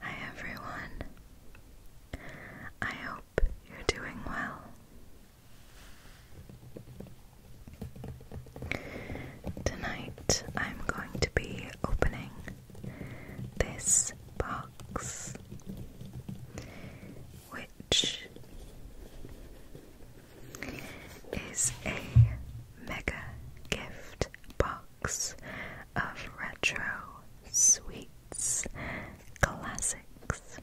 Hi everyone. I hope you're doing well. Tonight I'm going to be opening this box which is a mega gift box of retro sweets classics.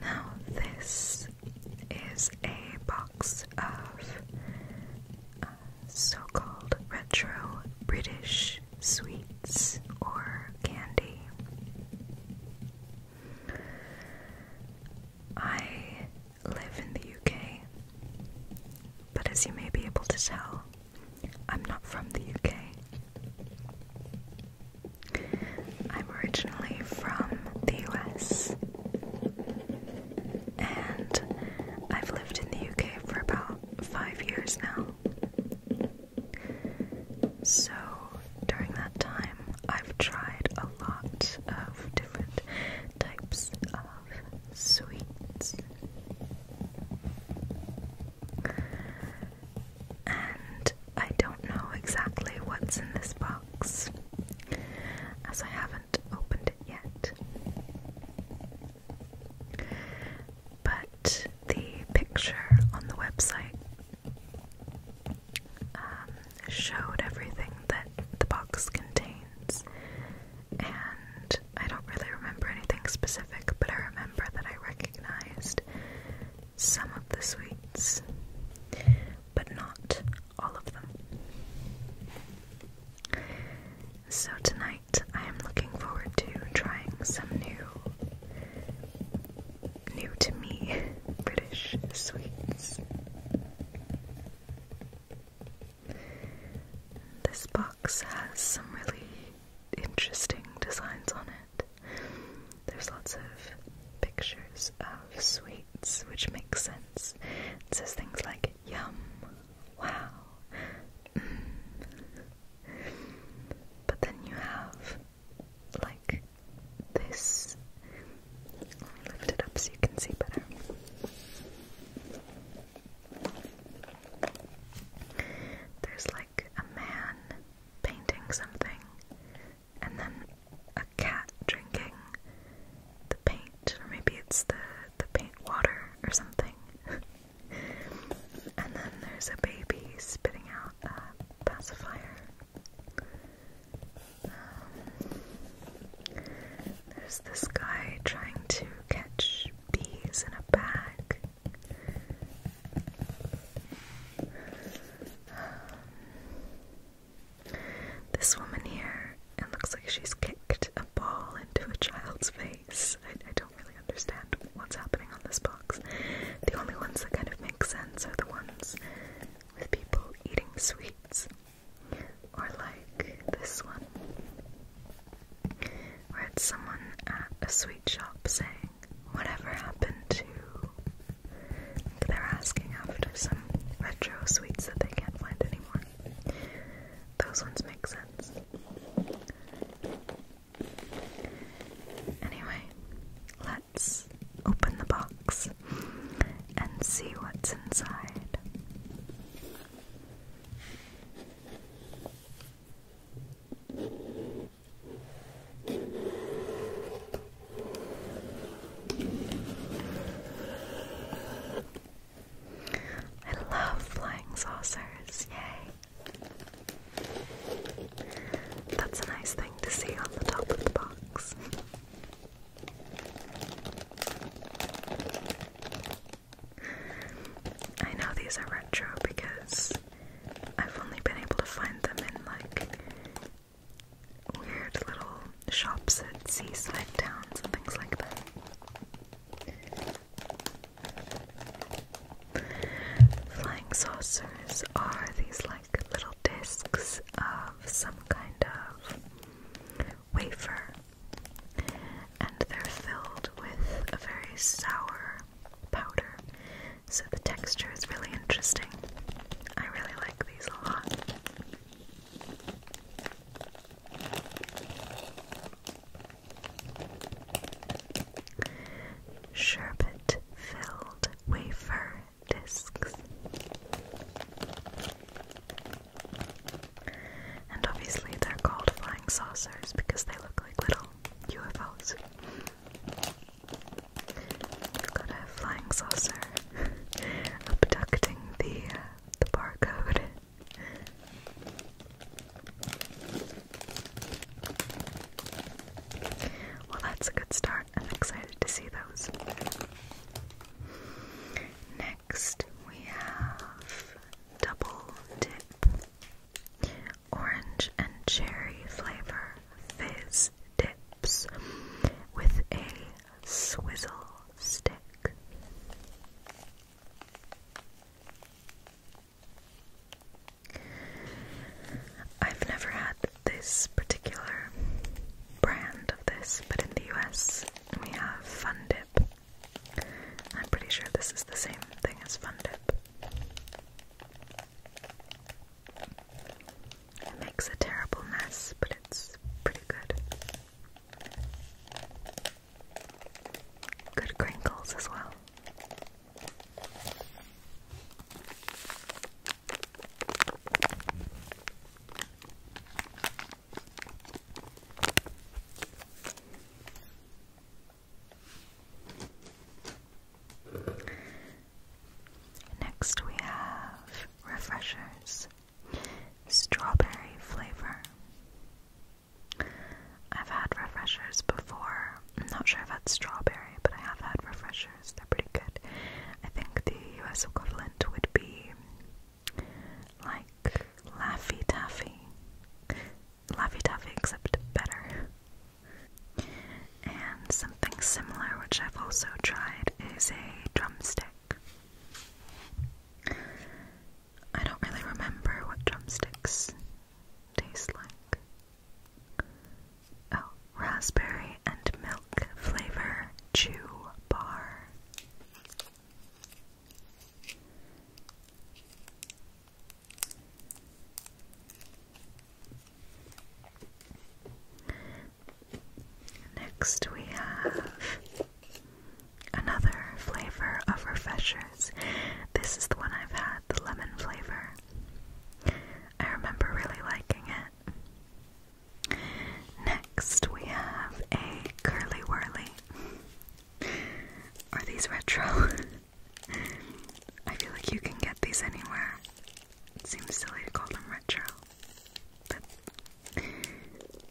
Now, this is a box of uh, so called retro British sweets or candy. I live in the UK, but as you may be able to tell, I'm not from the UK. I'm originally from the US, and I've lived in the UK for about five years now. So during that time, I've tried a lot of different types of sweets. And I don't know exactly what's in this box, as I haven't opened it yet but the picture on the website um, showed everything that the box contains, and I don't really remember anything specific, but I remember that I recognized some of the sweets, but not all of them. So, tonight I am looking forward to trying some new, new to me British sweets. This box has some really interesting designs on it. There's lots of pictures of sweets, which makes sense. It says things like yum, wow, but then you have like this. lift it up so you can see better. There's like a man painting something, and then a cat drinking the paint, or maybe it's the the paint water or something. and then there's a baby spitting out a pacifier. Um, there's this guy trying to catch bees in a bag. Um, this woman here, it looks like she's kicked a ball into a child's face. I, I don't really understand what's happening on this box. The only ones that kind of make sense are the ones with people eating sweets. Or like this one. or it's someone at a sweet shop saying, Whatever happened to they're asking after some retro sweets that they can't find anymore. Those ones make sense. Anyway, let's open the box and see what's inside. I love flying saucers, yay! That's a nice thing to see on the top of the box. I know these are retro because I've only been able to find them in like weird little shops at seaside towns and things like that. Flying saucers are these like little discs of some kind of wafer, and they're filled with a very sour powder, so the texture is really interesting. I really like these a lot. Sherbet filled wafer discs. And obviously, they're called flying saucers because they look like little UFOs. got a flying saucer abducting the, uh, the barcode. Well, that's a good start. I'm excited to see those. Next, we have double dip orange and cherry flavor fiz dips with a swizzle stick. I've never had this particular brand of this, but in the US we have Fun Dip. I'm pretty sure this is the same thing as Fun Dip. It makes a terrible mess, but it's pretty good. Good crinkles as well. Next, we have refreshers, strawberry flavor. I've had refreshers before. I'm not sure if that's strawberry, but I have had refreshers. They're pretty good. I think the US equivalent would be like Laffy Taffy. Laffy Taffy, except better. And something similar, which I've also tried, is a drumstick. I don't really remember what drumsticks taste like. Oh, raspberry and milk flavor chew bar. Next, we have another flavor of refreshers. This is the one I've had the lemon flavor. I remember really liking it. Next, we have a Curly Whirly. Are these retro? I feel like you can get these anywhere. It seems silly to call them retro. But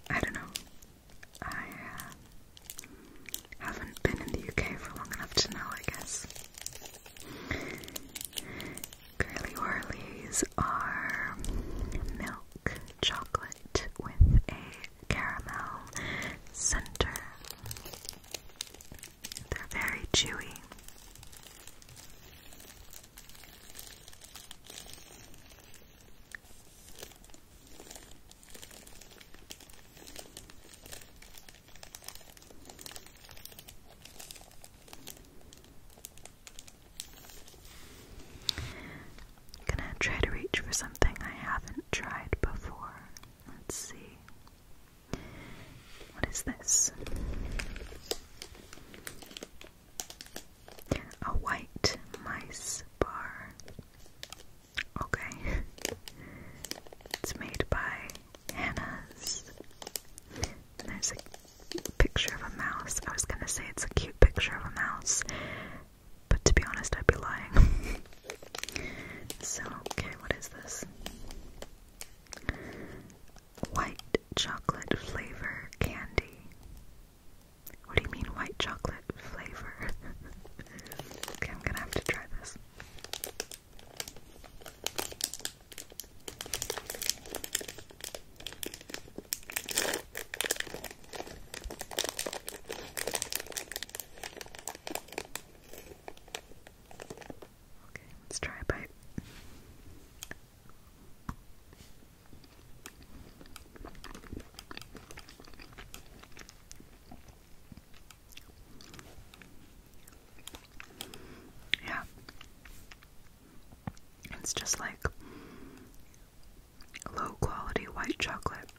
I don't know. I uh, haven't been in the UK for long enough to know, I guess. Curly Orleys are milk chocolate with a caramel center. They're very chewy gonna try to reach for something I haven't tried before. Let's see. What is this? A white mice bar. Okay. It's made by Hannah's. there's a picture of a mouse. I was gonna say it's a cute picture of a mouse, but to be honest, I'd be lying. so, okay, what is this? White chocolate flavor candy. What do you mean, white chocolate flavor? okay, I'm gonna have to try this. Okay, let's try a bite. Yeah. It's just like low quality white chocolate.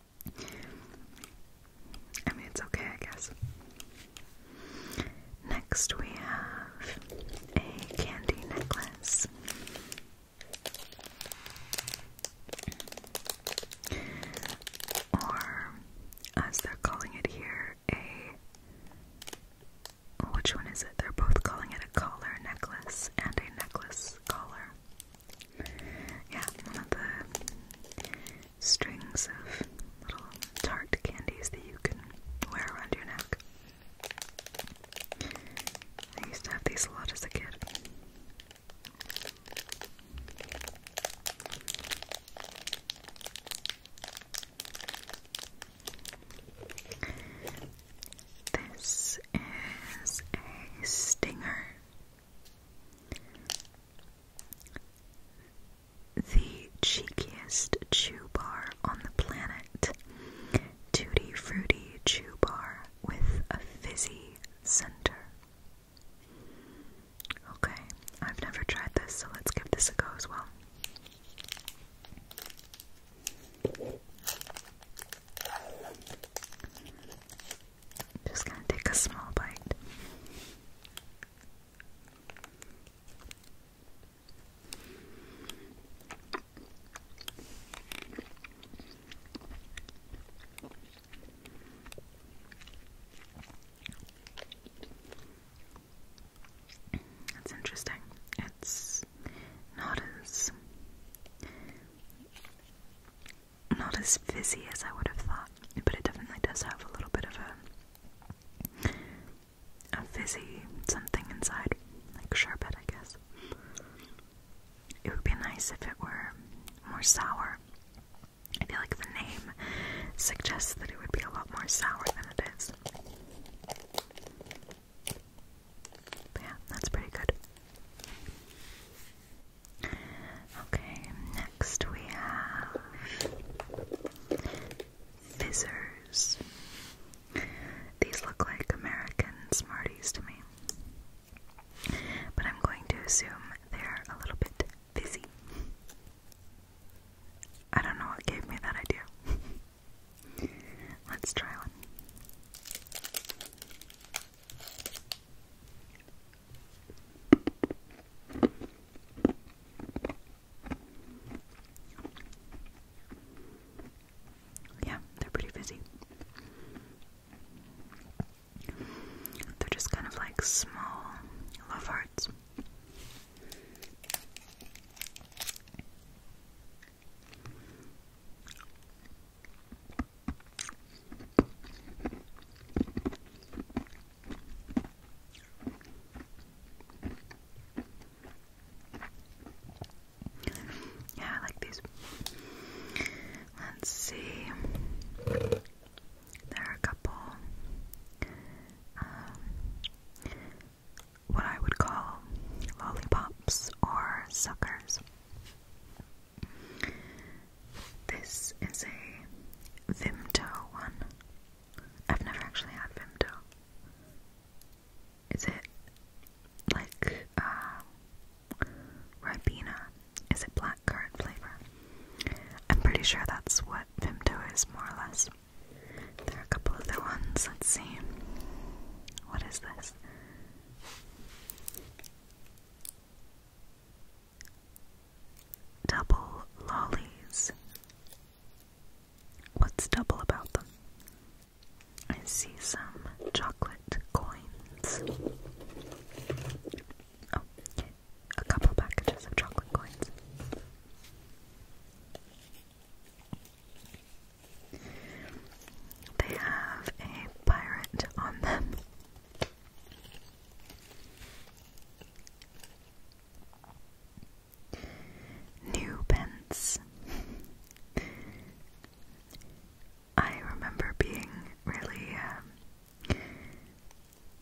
I mean, it's okay, I guess. Next, we have a candy necklace. Or as they're calling it here, a. Which one is it? They're both calling it a collar necklace and a necklace collar. Yeah, one of the strings of little tart candies that you can wear around your neck. I used to have these a lot as a kid. This is a stinger. The cheekiest chew bar on the planet. Tutti Fruity Chew Bar with a fizzy center. Okay, I've never tried this, so let's give this a go as well. Just gonna take a small bite. It's interesting. It's not as not as fizzy as I would have thought, but it definitely does have a little bit of a a fizzy something inside, like sherbet, I guess. It would be nice if it were more sour. I feel like the name suggests that it would be a lot more sour than it is. But yeah, that's pretty good. Okay, next we have Fizzers. These look like American Smarties to me, but I'm going to assume they're a little bit fizzy. I don't know what gave me that idea. Let's try one. Yeah, they're pretty busy. They're just kind of like small love hearts. Yeah, I like these. Let's see. There are a couple, um, what I would call lollipops or suckers. This is a Vimto one. I've never actually had Vimto. Is it like uh, Is it black? blackcurrant flavor. I'm pretty sure that's what Vimto is, more or less. There are a couple other ones. Let's see. What is this? Double lollies. What's double about them? I see some chocolate coins. Oh, a couple packages of chocolate coins. They have a pirate on them. New I remember being really um,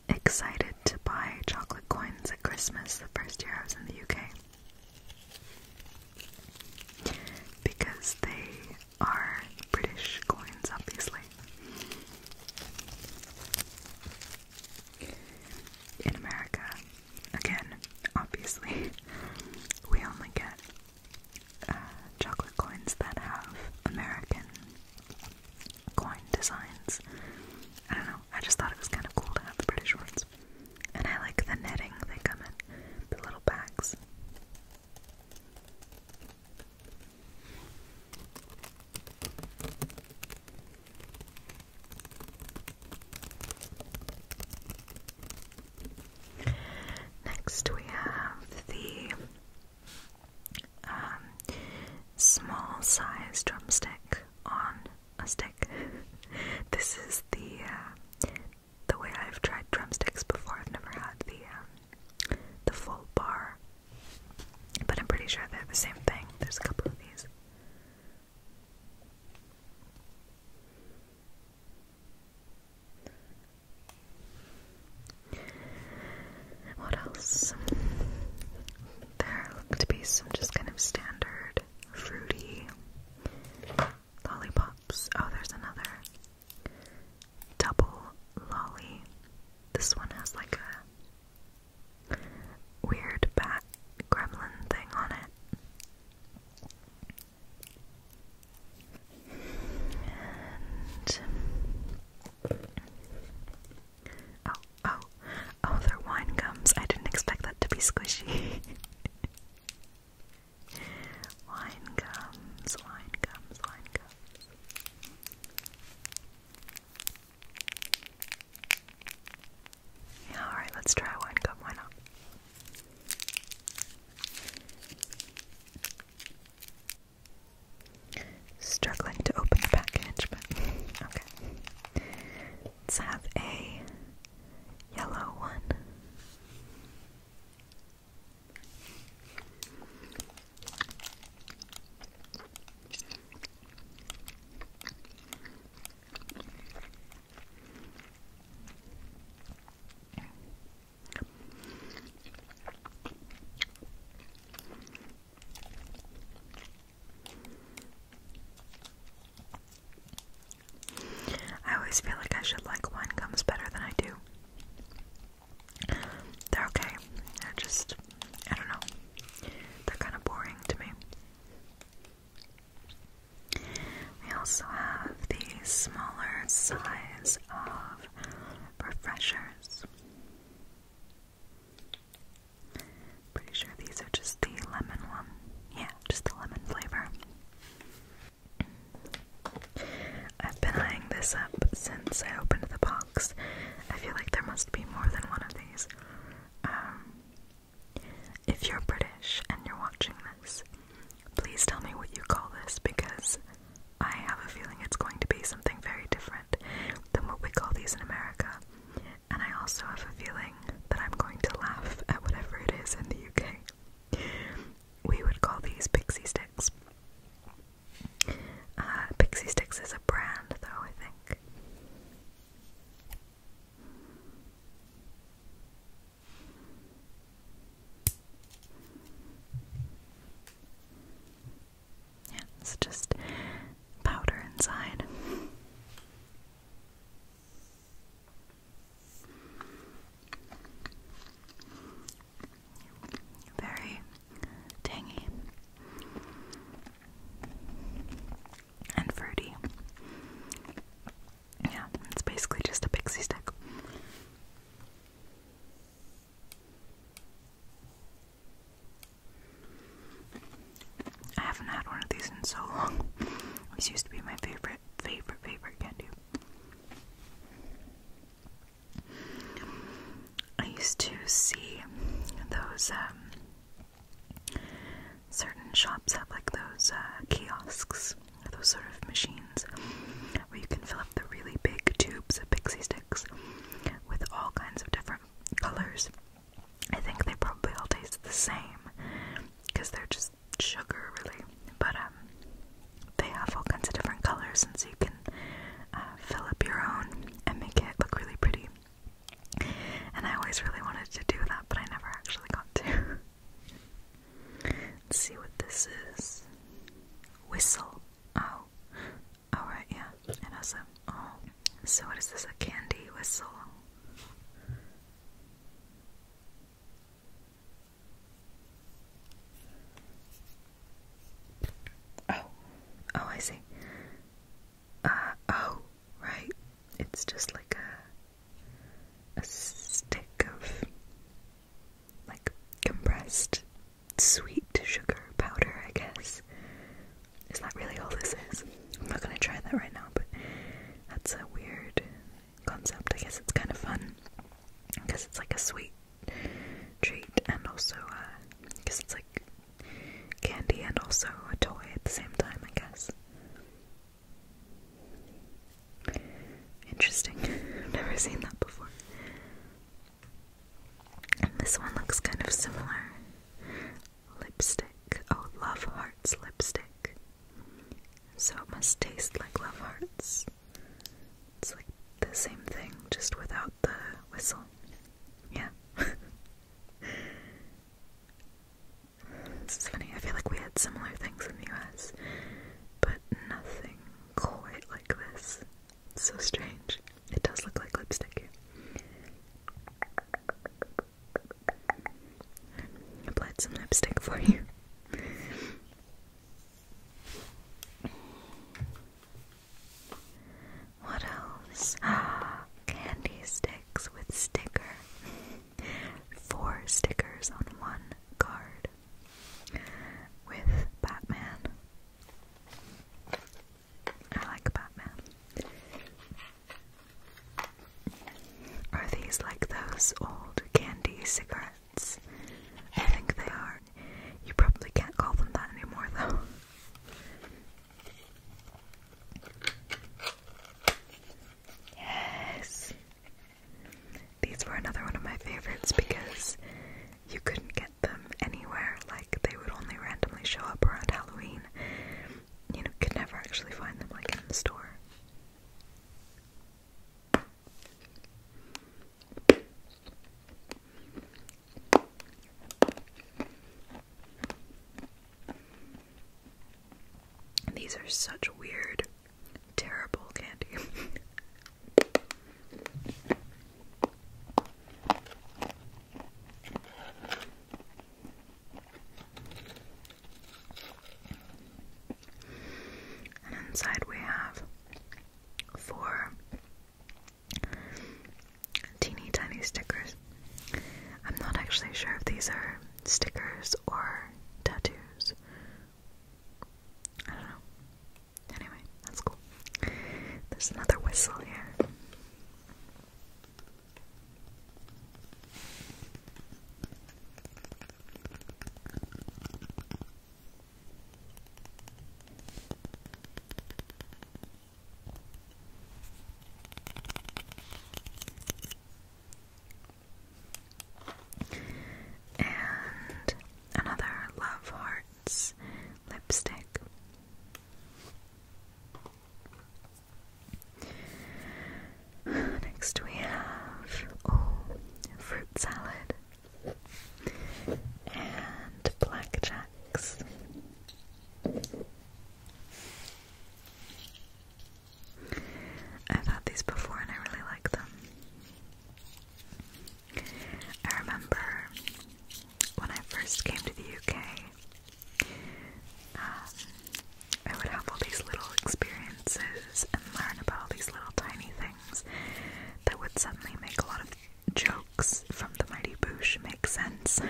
Excited to buy chocolate coins at Christmas the first year I was in the UK. Because they are British coins, obviously. In America, again, obviously, we only get uh, chocolate coins that have American coin designs. I don't know, I just thought it was kind of cool to have the British ones. And I like the netting they come in, the little bags. Next, we have the um, small size drumstick on a stick. this is the uh, the way I've tried drumsticks before. I've never had the um, the full bar, but I'm pretty sure they're the same thing. There's a couple of these. What else? There look to be some just kind of standard fruity lollipops. Oh, there's another double lolly. This one has like a weird bat gremlin thing on it. oh, Oh, oh, they're wine gums. I didn't expect that to be squishy. wine gums, wine gums, wine gums. alright, let's try wine gum, why not? Struggling to open the package, but okay. Let's have a yellow one. I always feel like I should like wine gums better than I do. They're okay. They're just, I don't know. They're kind of boring to me. We also have the smaller size of refreshers. Pretty sure these are just the lemon one. Yeah, just the lemon flavor. I've been eyeing this up since I opened the box. I feel like there must be more than one of these. Um, if you're British and you're watching this, please tell me what you call this because I have a feeling it's going to be something very different than what we call these in America. And I also have a feeling that I'm going to laugh at whatever it is in the UK. We would call these pixie sticks. Uh, pixie sticks is a brand, though, I think. Yeah, it's just powder inside. Very tangy and fruity. Yeah, it's basically just a pixie stick. I haven't had one of these in so long. This used to be my favorite, favorite, favorite candy. I used to see those um, certain shops have like those uh, kiosks those sort of machines where you can fill up the really big tubes of pixie sticks with all kinds of different colors I think they probably all taste the same because they're just sugar, really. But um, they have all kinds of different colors, and so you can uh, fill up your own and make it look really pretty. And I always really wanted to do that, but I never actually got to. see what this is. Whistle. Oh, Alright, yeah, it has a. Oh. So, what is this? A candy whistle? Oh. Oh, I see. Uh, oh, right. It's just like a. a stick of. like compressed sweet sugar powder, I guess. Is that really all this is? I'm not gonna try that right now, but that's a weird concept. I guess it's kind of fun because it's like a sweet treat and also because uh, it's like candy and also a toy at the same time, I guess. Interesting. I've never seen that before. this one looks kind of similar lipstick. Oh, Love Hearts lipstick. So it must taste like Love Hearts. It's like the same thing, just without the whistle. Yeah. It's funny. I feel like we had similar things in the US, but nothing quite like this. It's so strange. It does look like lipstick. applied some lipstick for you. What else? Ah, candy sticks with sticker. Four stickers on one card with Batman. I like Batman. Are these like those old candy cigarettes? I think they are. You probably can't call them that anymore, though. Yes! These were another one of my favorites because you couldn't get them anywhere, like, they would only randomly show up around Halloween. You know, could never actually find them like in the store. These are such weird, terrible candy. And inside we have four teeny tiny stickers. I'm not actually sure if these are stickers or tattoos. I don't know. Anyway, that's cool. There's another whistle here. And another Love Hearts lipstick. Next we have oh, fruit salad and blackjacks. I've had these before and I really like them. I remember when I first came to the UK, um, I would have all these little experiences and learn about all these little tiny things that would suddenly make a lot of jokes from the Mighty Boosh make sense.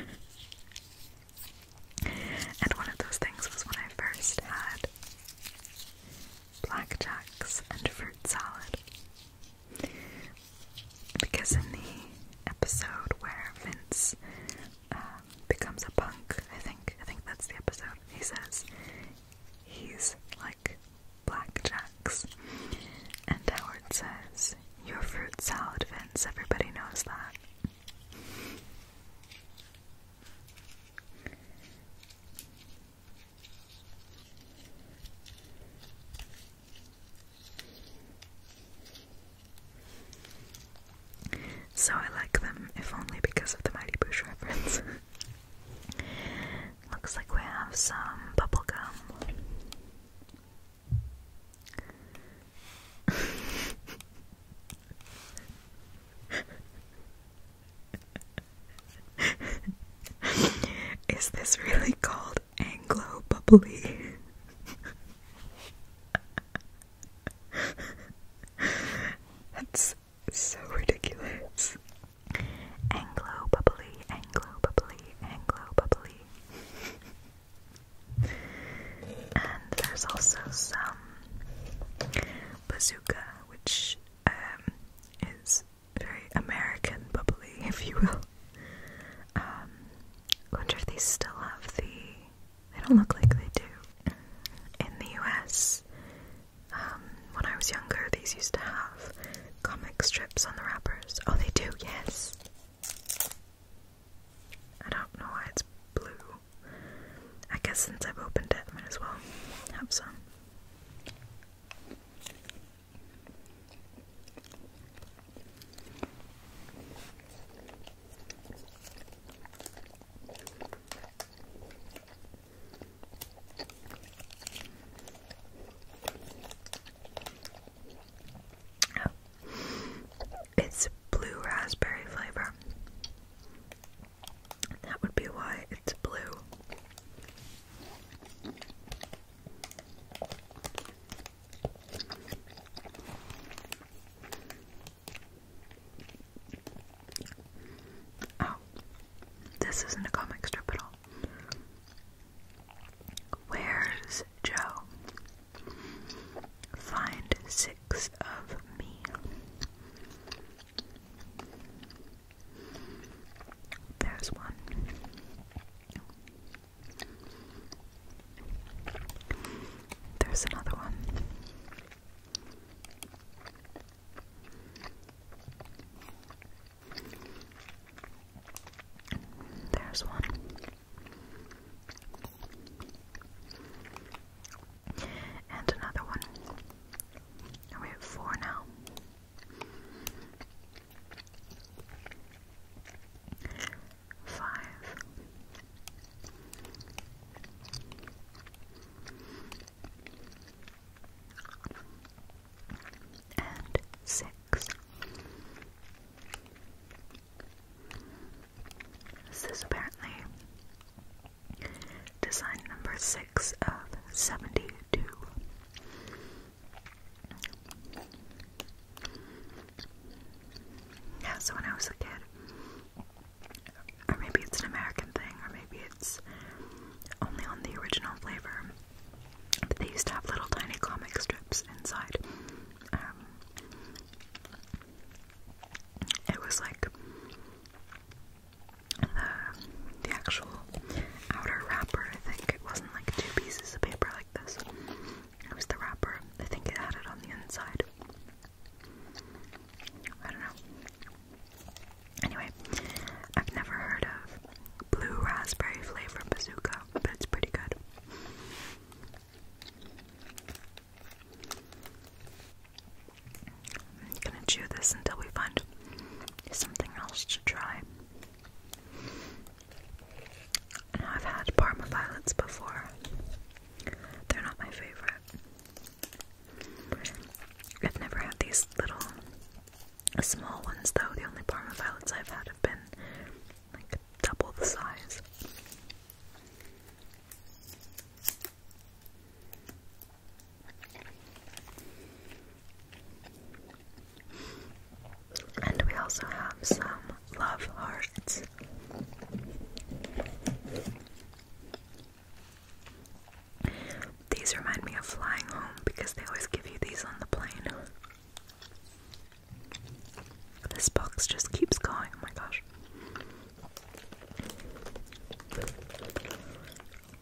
and one of those things was when I first had blackjacks and fruit salad because in the episode where Vince um, becomes a punk, I think I think that's the episode. He says he's like blackjacks, and Howard says, "Your fruit salad, Vince. Everybody knows that." So I like them, if only because of the Mighty Boosh reference. Looks like we have some bubblegum. Is this really cold? Anglo Bubbly. That's so ridiculous. Anglo Bubbly, Anglo Bubbly, Anglo Bubbly. and there's also some bazooka, which um, is very American bubbly, if you will. Um, I wonder if they still have the. They don't look like they do. In the US, um, when I was younger, these used to have comic strips on the wrappers. Oh, they do, yes! I don't know why it's blue. I guess since I've opened it, I might as well have some. Oh. It's blue raspberry flavor. That would be why it's blue. Oh, this isn't a comic strip at all. Where's Joe? Find six of me. There's one. There's another one. There's one. And another one. And we have four now five. And six. This is apparently design number six of seventy two. Yeah, so when I was a kid, or maybe it's an American thing, or maybe it's only on the original flavor, but they used to have little tiny comic strips inside. Um, it was like the, the actual outer wrapper, I think. It wasn't like two pieces of paper like this. It was the wrapper. I think it had it on the inside. I don't know. Anyway, I've never heard of blue raspberry flavor bazooka, but it's pretty good. I'm gonna chew this until we find something else to try. I've had Parma violets before. They're not my favorite. I've never had these little small ones though. The only Parma violets I've had have been like double the size. And we also have some love hearts. These remind me of flying home because they always give you these on the plane. This box just keeps going. Oh my gosh.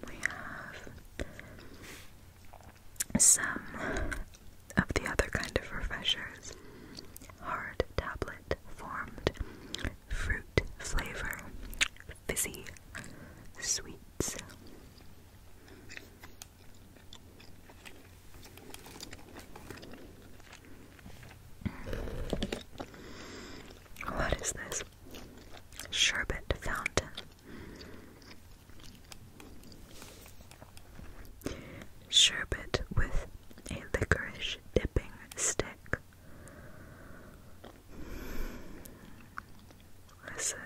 We have some of the other kind of refreshers. Hard tablet formed, fruit flavor, fizzy sweets. What is this? Sherbet fountain. Sherbet with a licorice dipping stick. Listen,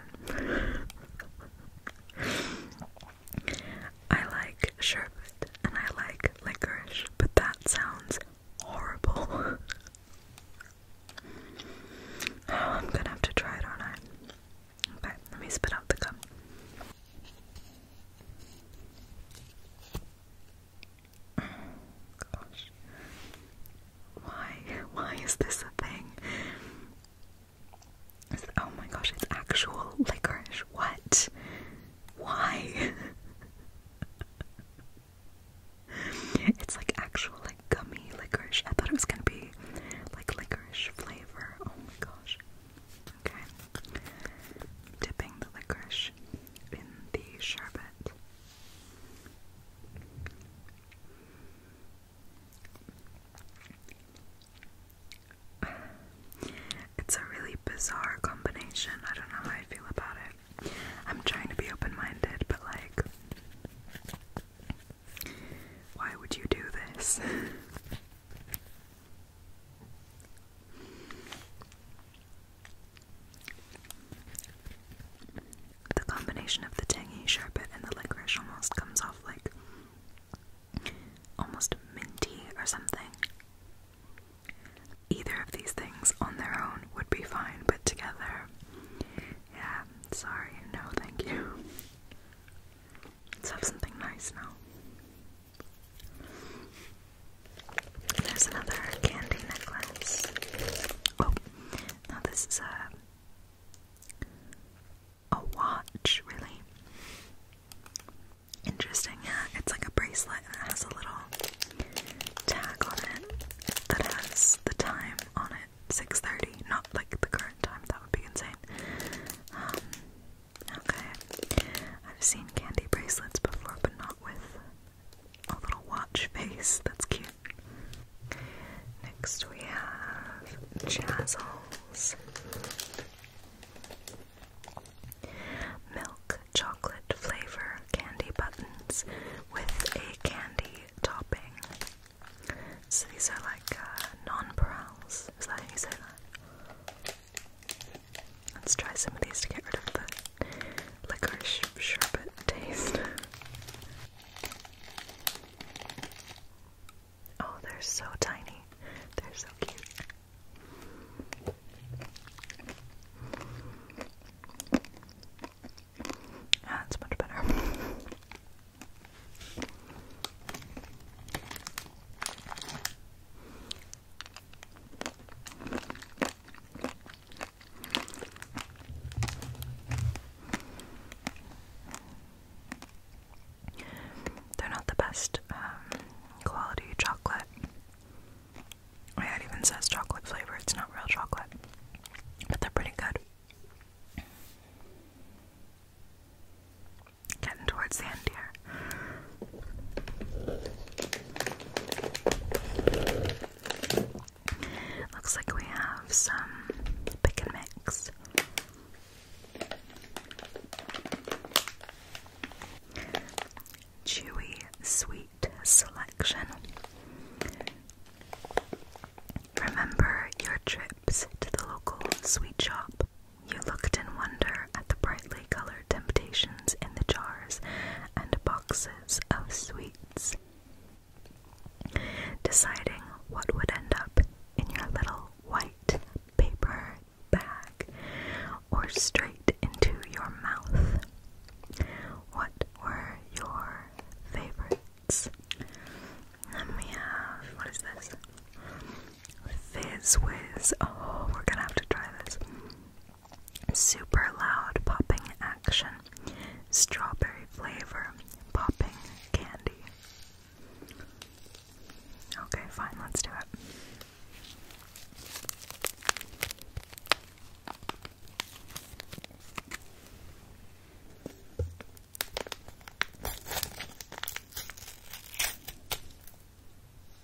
I like sherbet and I like licorice, but that sounds horrible. I'm gonna have to try it, aren't I? Okay, let me spit out the gum. Oh, gosh. Why? Why is this a thing? It's, oh my gosh, it's actual licorice. What? Why? it's like actual like gummy licorice. I thought it was gonna be like licorice flavor. Oh my gosh. Okay. Dipping the licorice in the sherbet. It's a really bizarre combination. I don't know how I feel about it. I'm trying to be open minded, but like, why would you do this? The combination of the tangy sherbet and the licorice almost comes off like almost minty or something. Either of these things on their own would be fine, but together, yeah, sorry, no, thank you. Let's have something nice now. There's another candy necklace. Oh, now this is a a watch, really. Interesting, yeah. It's like a bracelet and has a little tag on it that has the time on it. 6.30, not like the current time, that would be insane. Um, Okay. I've seen candy bracelets before, but not with a little watch face. That's cute. Next we have Jazzles. Milk chocolate flavor candy buttons with a candy topping. So these are like non uh, nonpareils. Is that how you say that? Let's try some of these to get rid of the licorice sherbet taste. Oh, they're so tiny. They're so cute. Ah, it's much better. They're not the best um, quality chocolate. it even says chocolate flavor, it's not real chocolate. But they're pretty good. Getting towards the end here. Looks like we have some pick and mix. Chewy sweet selection. Remember your trips to the local sweet shop you looked in wonder at the brightly colored temptations in the jars and boxes of sweets, deciding what would end up in your little white paper bag or straight into your mouth. What were your favorites? And we have, what is this? Fizz Whiz. Oh, we're gonna have to try this. Super loud popping action. Strawberry flavor popping candy. Okay, fine, let's do it.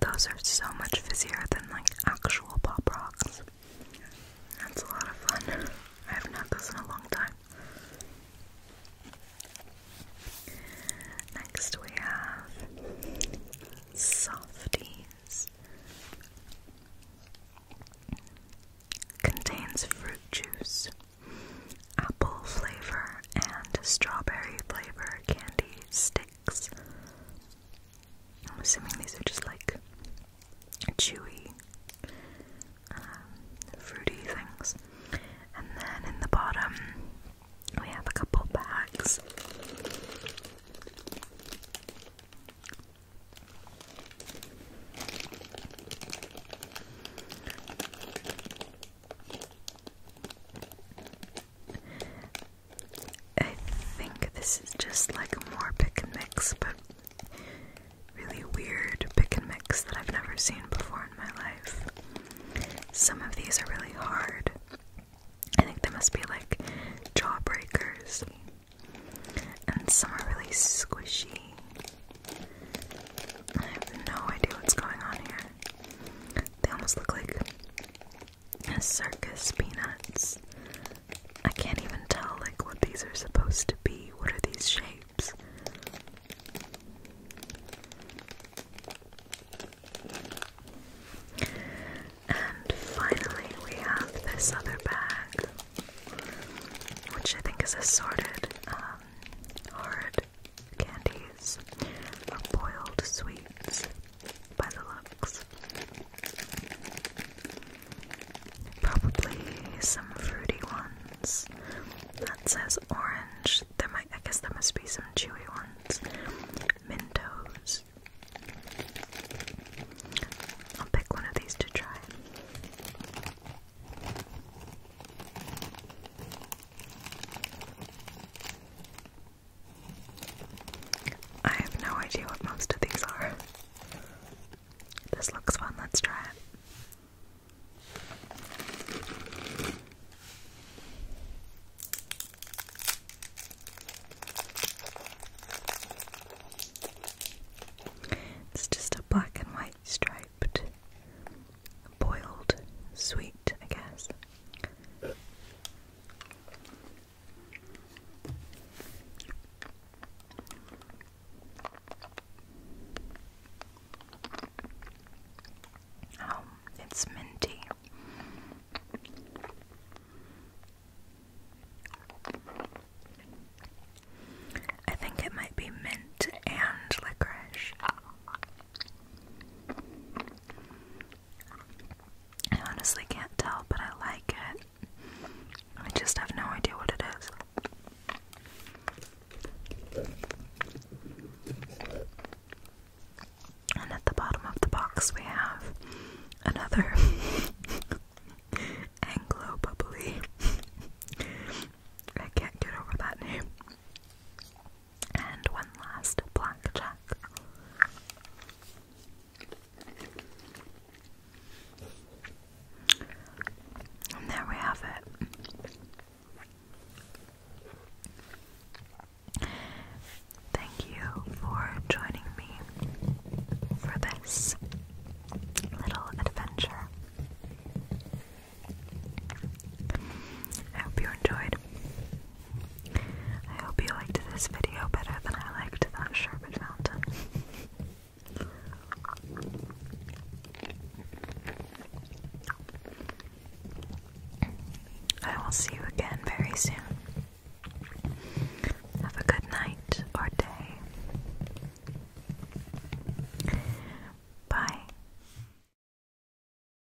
Those are so much fizzier than like actual pop rocks. That's a lot of fun. I haven't had those in a long time. Next we have softies. Contains fruit juice apple flavor and strawberry flavor candy sticks. I'm assuming these are just like chewy, um, fruity things. And then in the bottom, we have a couple bags. I think this is just like more pick and mix, but really weird pick and mix that I've never seen before in my life. Some of these are really hard. I think they must be like jawbreakers, and some are really squishy. I have no idea what's going on here. They almost look like circus peanuts. I can't even tell like what these are supposed to be. What are these shapes? And finally we have this other bag. Which I think is assorted um, hard candies, or boiled sweets by the looks. Probably some fruity ones. That says orange. There might I guess there must be some chewy ones. Mintos. I'll pick one of these to try. I have no idea what most of these are. This looks fun, let's try it. It's just a black and white striped boiled sweet, I guess. Oh, it's minty. I think it might be mint and licorice. I honestly can't tell, but I like it. I just have no idea what it is. And at the bottom of the box, we have another Anglo Bubbly. I can't get over that name. And one last blackjack. And there we have it. Thank you for joining me for this little adventure. I hope you enjoyed. I hope you liked this video better than I liked that sherbet fountain. I will see you again very soon. Have a good night or day. Bye.